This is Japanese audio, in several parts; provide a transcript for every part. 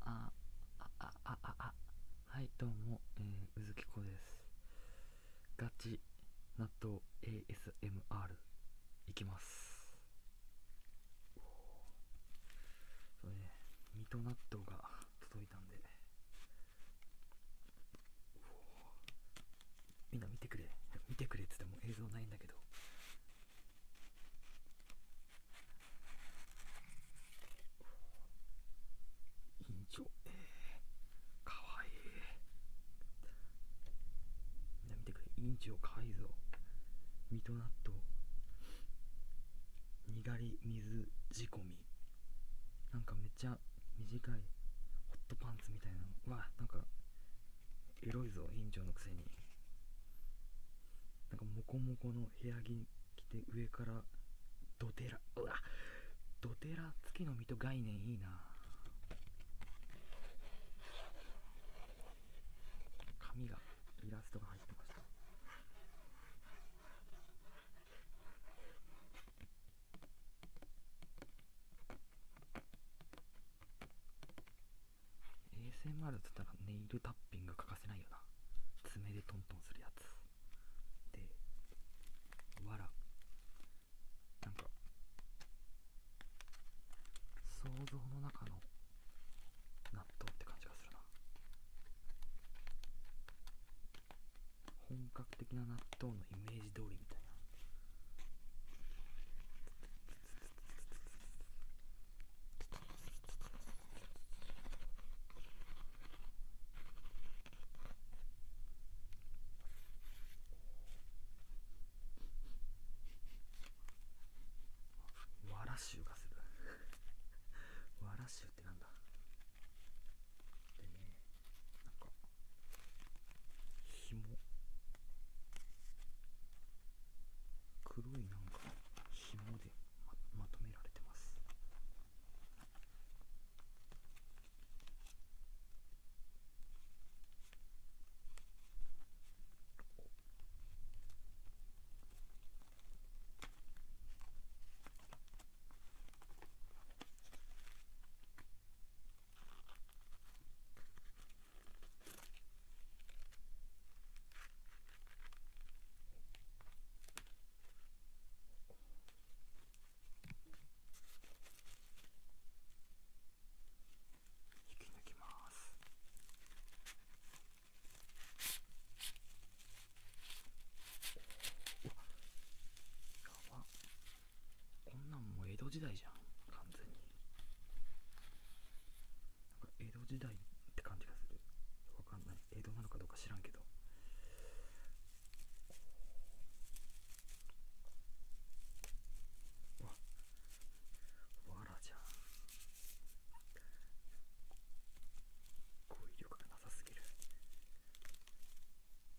ああああああはいどうも、えー、うずきこですガチ納豆 ASMR いきますそうね水戸納豆が届いたんでみんな見てくれ見てくれっつっても映像ないんだけど院長えー、かわいいみんな見てくれ院長かわいいぞ水戸納豆にがり水仕込みなんかめっちゃ短いホットパンツみたいなのわなんかエロいぞ院長のくせになんかモコモコの部屋着着て上からドテラうわドテラきの実と概念いいな紙がイラストが入ってました ASMR っつったらネイルタッピング欠かせないよな爪でトントンするやつでわらなんか想像の中の納豆って感じがするな本格的な納豆本のイメージ通りみたいなわら臭がする わら臭ってなんだでねなんか紐黒いなんか紐でままとめられてます引き抜きます。こんなんもう江戸時代じゃん完全になんか江戸時代って感じがするわかんない江戸なのかどうか知らんけどわわらじゃん語彙力がなさすぎる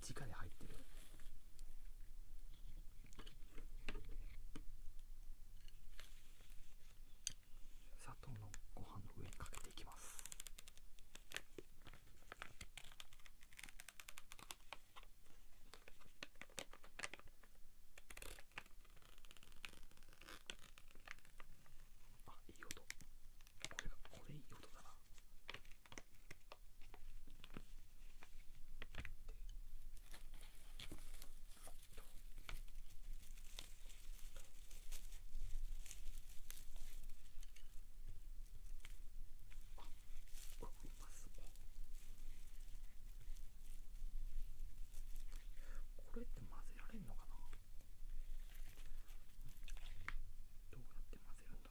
に直で入ってる砂糖のご飯の上にかけていきますいい音これがこれいい音だなこれって混ぜられるのかなどうやって混ぜるんだ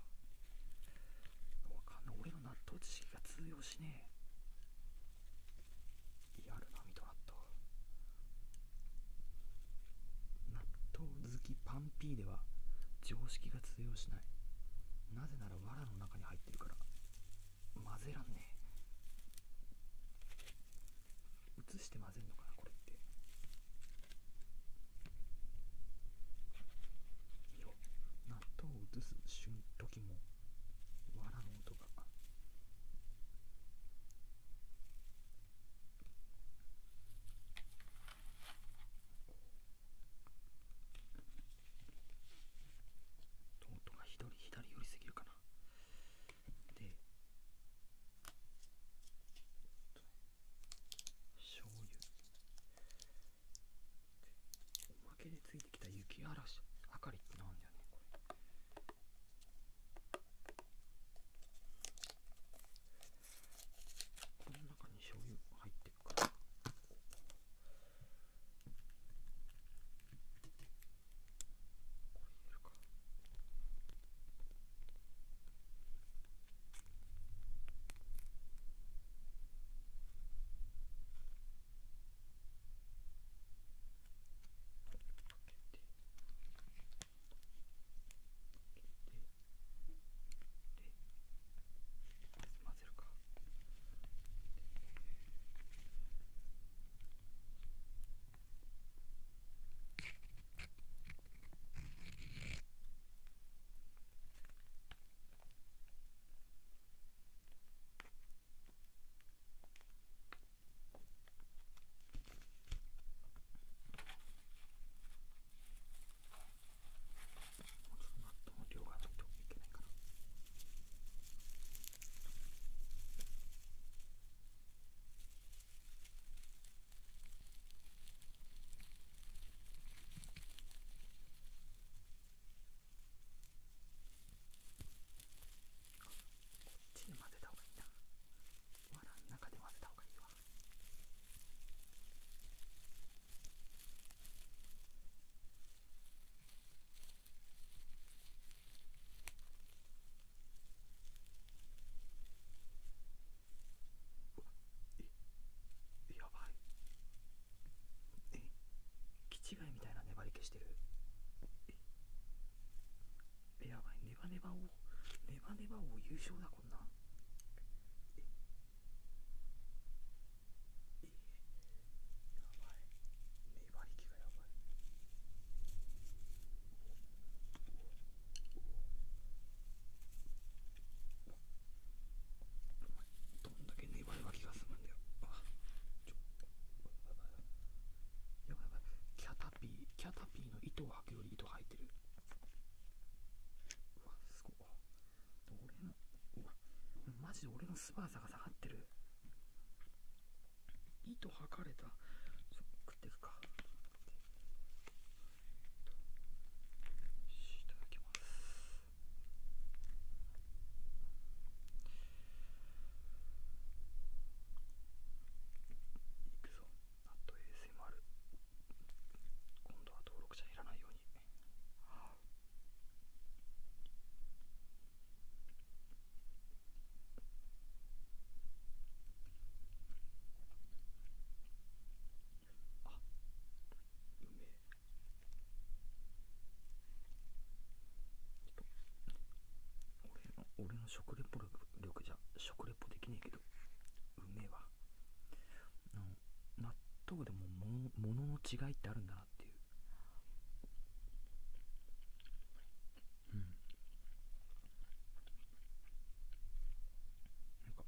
わかんない俺の納豆知識が通用しねえリアルなミト納豆納豆好きパンピーでは常識が通用しないなぜなら藁の中に入ってるから混ぜらんねえ映して混ぜるのかなこれってよ納豆を映す瞬時もわらの音が音が左左よりすぎるかなで醤油おまけでついてきた雪嵐あかりってなんだよねこれこの中に醤油入ってるからこれ入れるか混ぜるか。ででででで量がちょっといけないかな。あ、っちに混ぜた方がいいなわらの中で混ぜた方がいいわやばいえ気違いみたいな粘り気してるえやばいネバネバをネバネバを優勝だこんなんええやばい粘り気がやばいどんだけ粘れば気が済むんだよあちょやばいやばいキャタピーキャタピーの糸を履くより糸吐いてるうわすごい俺のうわマジで俺のスパーサが下がってる糸はかれた食っていくかいただきますいくぞあと ASMR 今度は登録者いらないようにあ。あうめえ俺の俺の食レポ力じゃ食レポできねえけどうめえわ納豆でもものの違いってあるんだなっていううん、なんか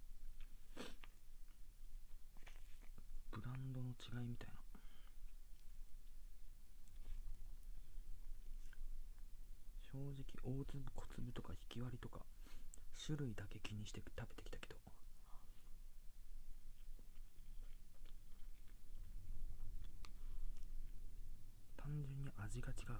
ブランドの違いみたいな正直大粒小粒とか引き割りとか種類だけ気にして食べてきたけど単純に味が違ううま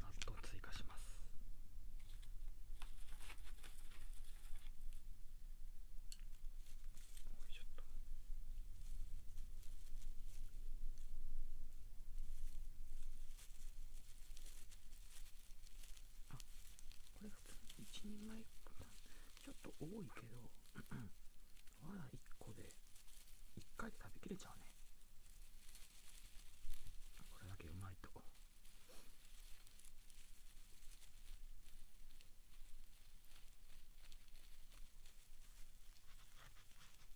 納豆追加します。ちょっとあこれ普通に1人前ちょっと多いけど まだ1個で1回で食べきれちゃうねこれだけうまいと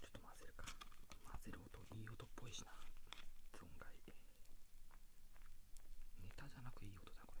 ちょっと混ぜるか混ぜる音いい音っぽいしな存在。ネタじゃなくいい音だこれ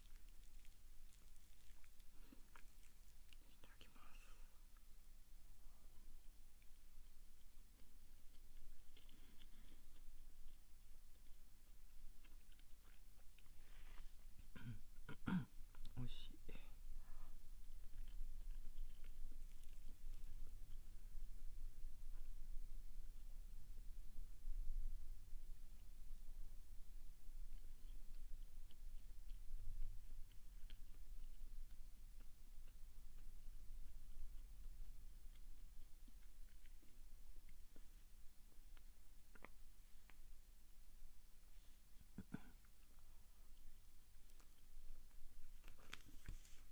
いただきますおいしい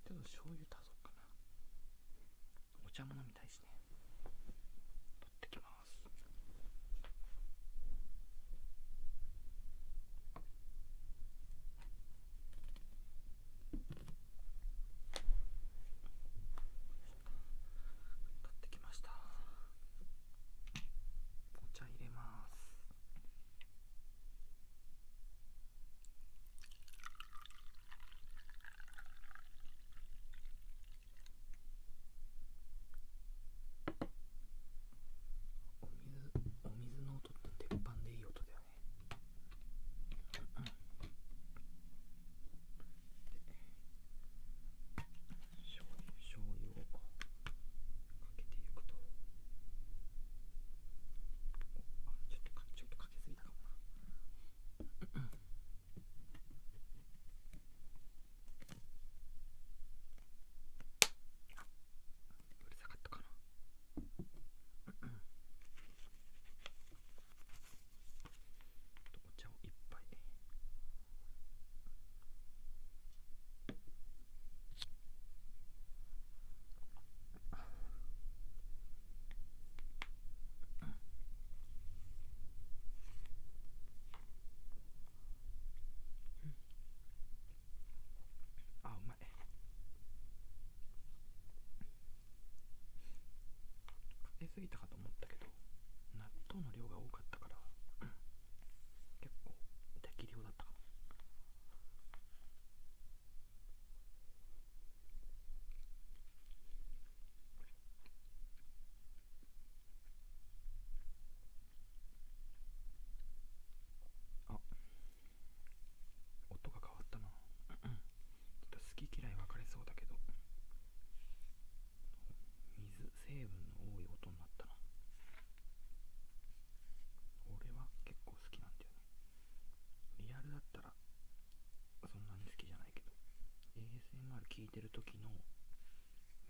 ちょっと醤油足そうかなお茶飲みたいしね取ってきます取ってきましたお茶入れますお水お水の音って鉄板でいい音だよね。うんうん、醤醤油をかけていくとあちょっとかけすぎたかもな。うるさかったかなお茶をいっぱいううん。ん。あうまいかけすぎたかと思ったけど納豆の量が多かったから結構適量だったかもあ音が変わったな ちょっと好き嫌い分かれそうだけど水成分の多い音になったな俺は結構好きなんだよねリアルだったらそんなに好きじゃないけど ASMR 聞いてる時の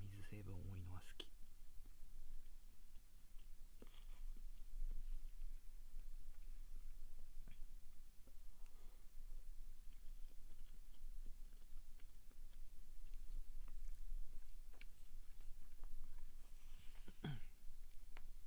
水成分多いのは好き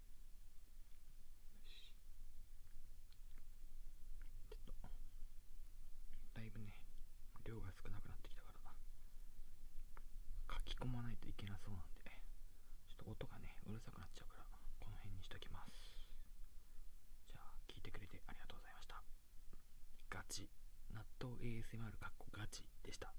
だいぶね量が少なくなってきたからな。書き込まないといけなそうなんでちょっと音がねうるさくなっちゃうからこの辺にしときますじゃあ聞いてくれてありがとうございましたガチ納豆 ASMR かっこガチでした